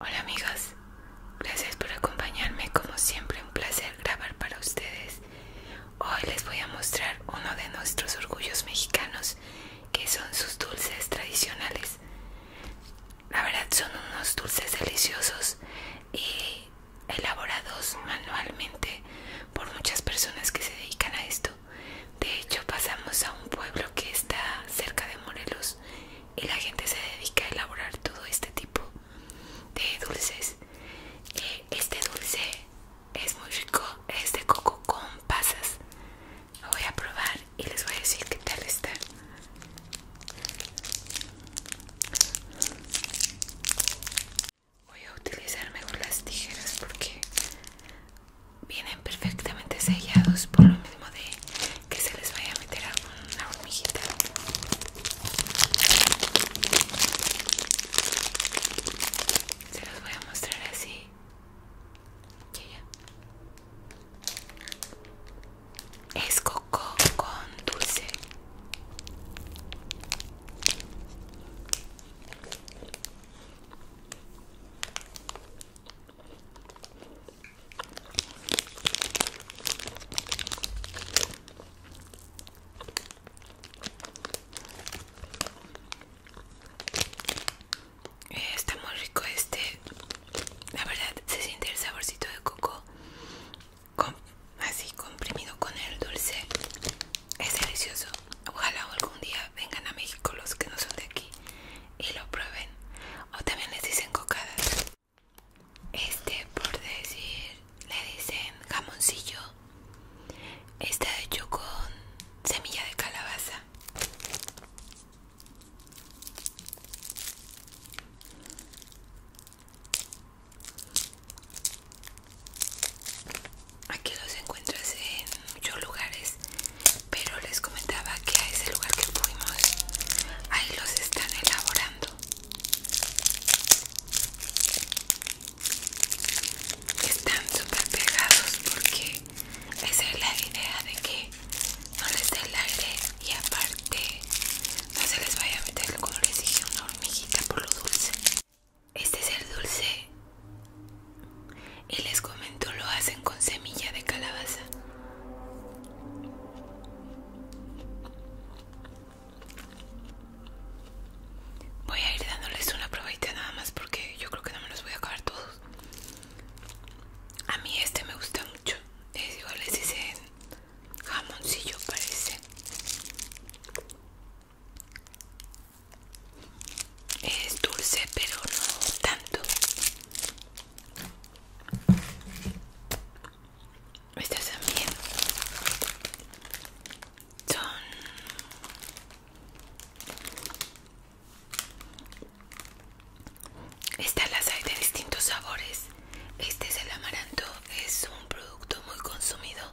Hola amigas, gracias por acompañarme, como siempre un placer grabar para ustedes. Hoy les voy a mostrar uno de nuestros orgullos mexicanos, que son sus dulces tradicionales. La verdad son unos dulces deliciosos y elaborados manualmente por muchas personas que se dedican a esto. De hecho pasamos a un pueblo que está cerca de Morelos y la gente se dedica a elaborar todo este tipo de dulces eh, este dulce es muy rico es de coco con pasas lo voy a probar y les voy a decir qué tal está voy a utilizar mejor las tijeras porque vienen perfectamente sellados por lo menos de que se les vaya a meter una hormiguita. Se los voy a mostrar así. Es coco con dulce. Eh, está muy rico este. La verdad se siente el saborcito de coco así comprimido con el dulce. Es delicioso. Ojalá algún día vengan a México los que no son de aquí y lo prueben. O también les dicen cocadas. Este, por decir, le dicen jamoncillo. Está hecho con semilla de calabaza. Aquí los encuentras en muchos lugares, pero les comentaba que a ese lugar que fuimos ahí los están elaborando. Están súper pegados porque esa es la idea de que no les dé el aire y aparte no se les vaya a meter, como les dije, una hormiguita por lo dulce. Este es el dulce y les comento lo hacen con semilla de calabaza. Voy a ir dándoles una probadita nada más porque yo creo que no me los voy a acabar todos. A mí este me gusta mucho. Es igual les dicen jamoncillo parece. Es dulce pero no tanto. Estas también son estas las hay de distintos sabores este es el amaranto es un producto muy consumido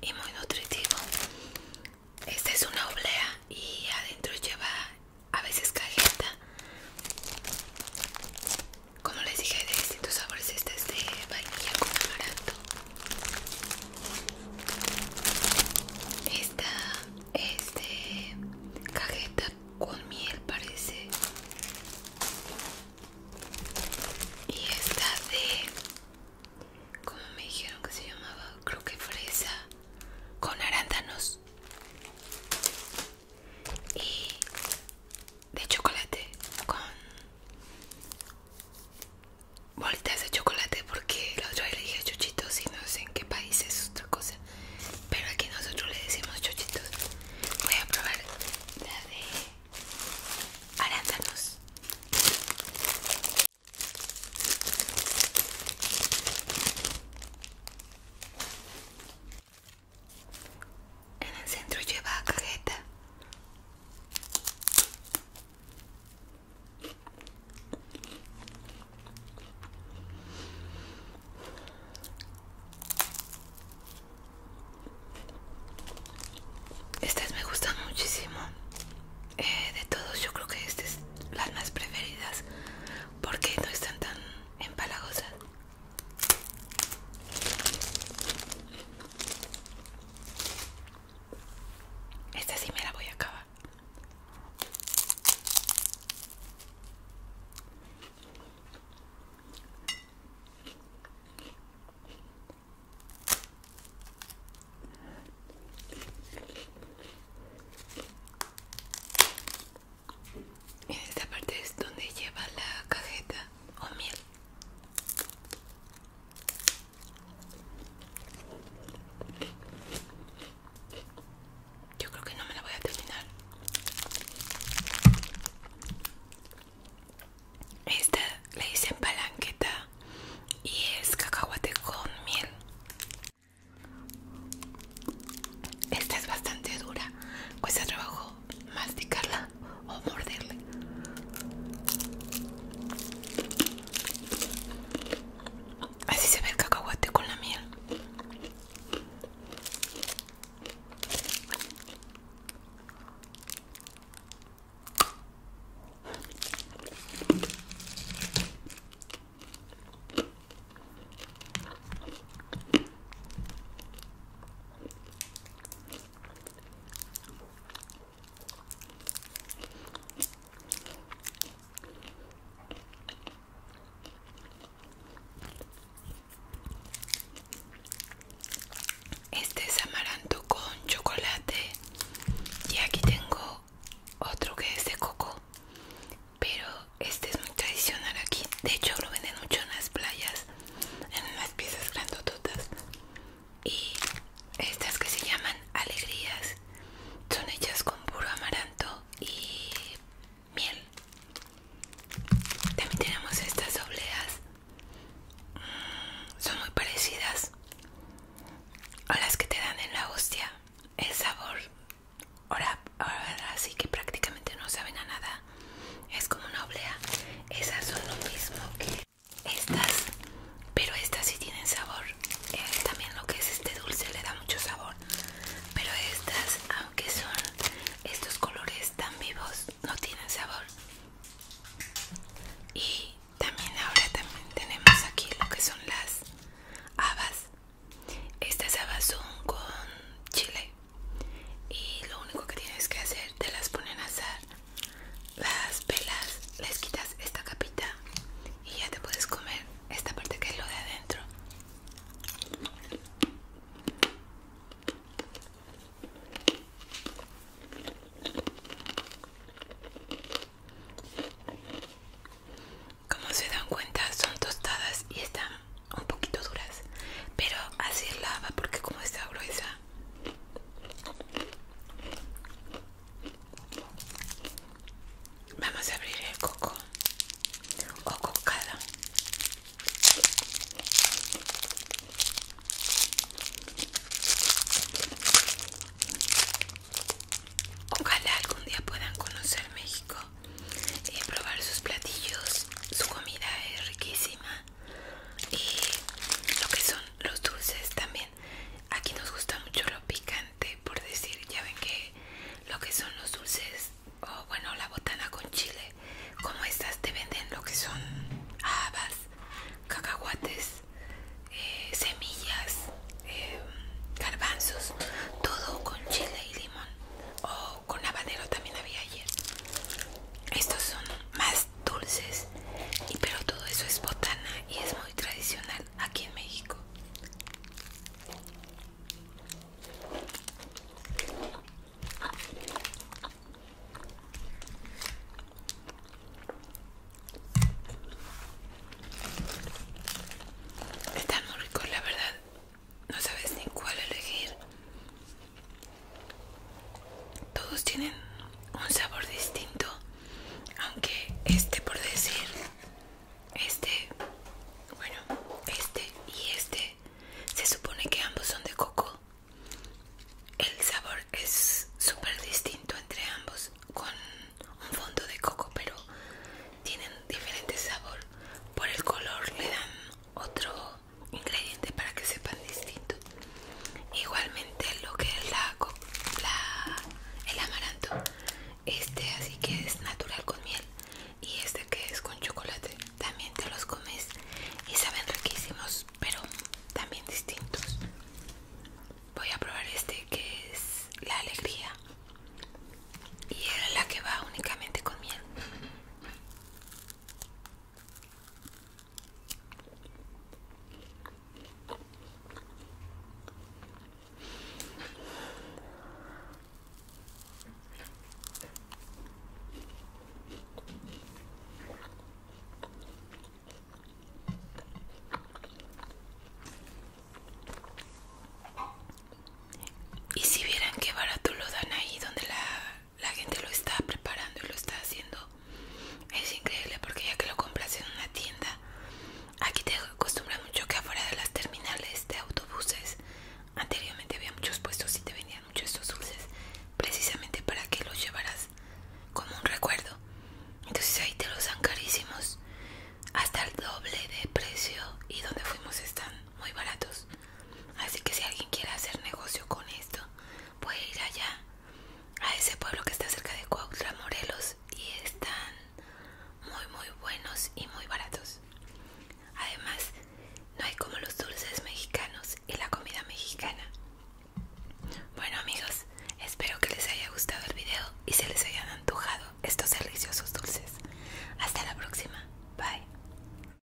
y muy nutritivo esta es una oblea y adentro lleva a veces cajeta como les dije hay de distintos sabores este es de vainilla con amaranto esta es de cajeta con miel parece y esta de como me dijeron que se llamaba creo que fresa con arándanos y de chocolate con bolitas de chocolate porque el otro día le dije chuchitos y no sé en qué país es otra cosa pero aquí nosotros le decimos chochitos voy a probar la de arándanos en el centro lleva cajeta. Estas me gustan muchísimo. Eh, de todos yo creo que estas es las más preferidas porque no están tan empalagosas. Esta sí me la voy a acabar. En esta parte es donde lleva la cajeta o miel. Yo creo que no me la voy a terminar. Esta le dicen palanqueta y es cacahuate con miel. Esta es bastante dura, cuesta trabajo masticarla o morderle. Así se ve el cacahuate con la miel. Este es amaranto con chocolate y aquí tengo otro que es de coco, pero este es muy tradicional aquí. De hecho, lo venden mucho en las playas, en las piezas grandototas. Y estas que se llaman alegrías son hechas con puro amaranto y miel. También tenemos estas dobleas mm, son muy parecidas a las que te dan en la hostia. El sabor, ahora, ahora sí que prácticamente no saben a nada es como una oblea esas son lo mismo que estas pero estas sí tienen sabor eh, también lo que es este dulce le da mucho sabor pero estas aunque son estos colores tan vivos no tienen sabor y también ahora también tenemos aquí lo que son las habas estas habas son con chile y lo único que tienes que hacer te las ponen a hacer las pelas les quitas esta capita y ya te puedes comer esta parte que es lo de adentro como se dan cuenta son tostadas y están un poquito duras pero así es lava porque como está gruesa vamos a abrir el coco o cocada Ojalá algún día puedan conocer México y eh, probar sus platillos su comida es riquísima y lo que son los dulces también aquí nos gusta mucho lo picante por decir ya ven que lo que son los dulces o bueno la botana con chile como estas te venden lo que son habas cacahuates eh, semillas eh, garbanzos todo con chile y limón con habanero también había ayer. Estos son más dulces, pero todo eso es botana y es muy tradicional aquí en México. Están muy ricos, la verdad no sabes ni cuál elegir. Todos tienen un sabor distinto, aunque este por decir, este, bueno, este y este, se supone que ambos son de coco. El sabor es super distinto entre ambos, con un fondo de coco, pero tienen diferente sabor. Por el color le dan otro ingredientes para que sepan distinto igualmente lo que es la, la el amaranto este así que es natural con miel y este que es con chocolate también te los comes y saben riquísimos pero también distintos voy a probar este que es la alegría y era la que va únicamente con miel y si vieran qué barato lo dan ahí donde la la gente lo está preparando y lo está haciendo. Es increíble porque ya que lo compras en una tienda, aquí te acostumbras mucho que afuera de las terminales de autobuses, anteriormente había muchos puestos y te vendían muchos estos dulces, precisamente para que los llevaras como un recuerdo. Entonces ahí te los dan carísimos, hasta el doble de precio y donde fuimos están muy baratos. Así que si alguien quiere hacer negocio con esto, puede ir allá, a ese pueblo que está cerca de Cuautla, Morelos, y están muy, muy buenos y muy baratos. Además, no hay como los dulces mexicanos y la comida mexicana. Bueno amigos, espero que les haya gustado el video y se les hayan antojado estos deliciosos dulces. Hasta la próxima. Bye.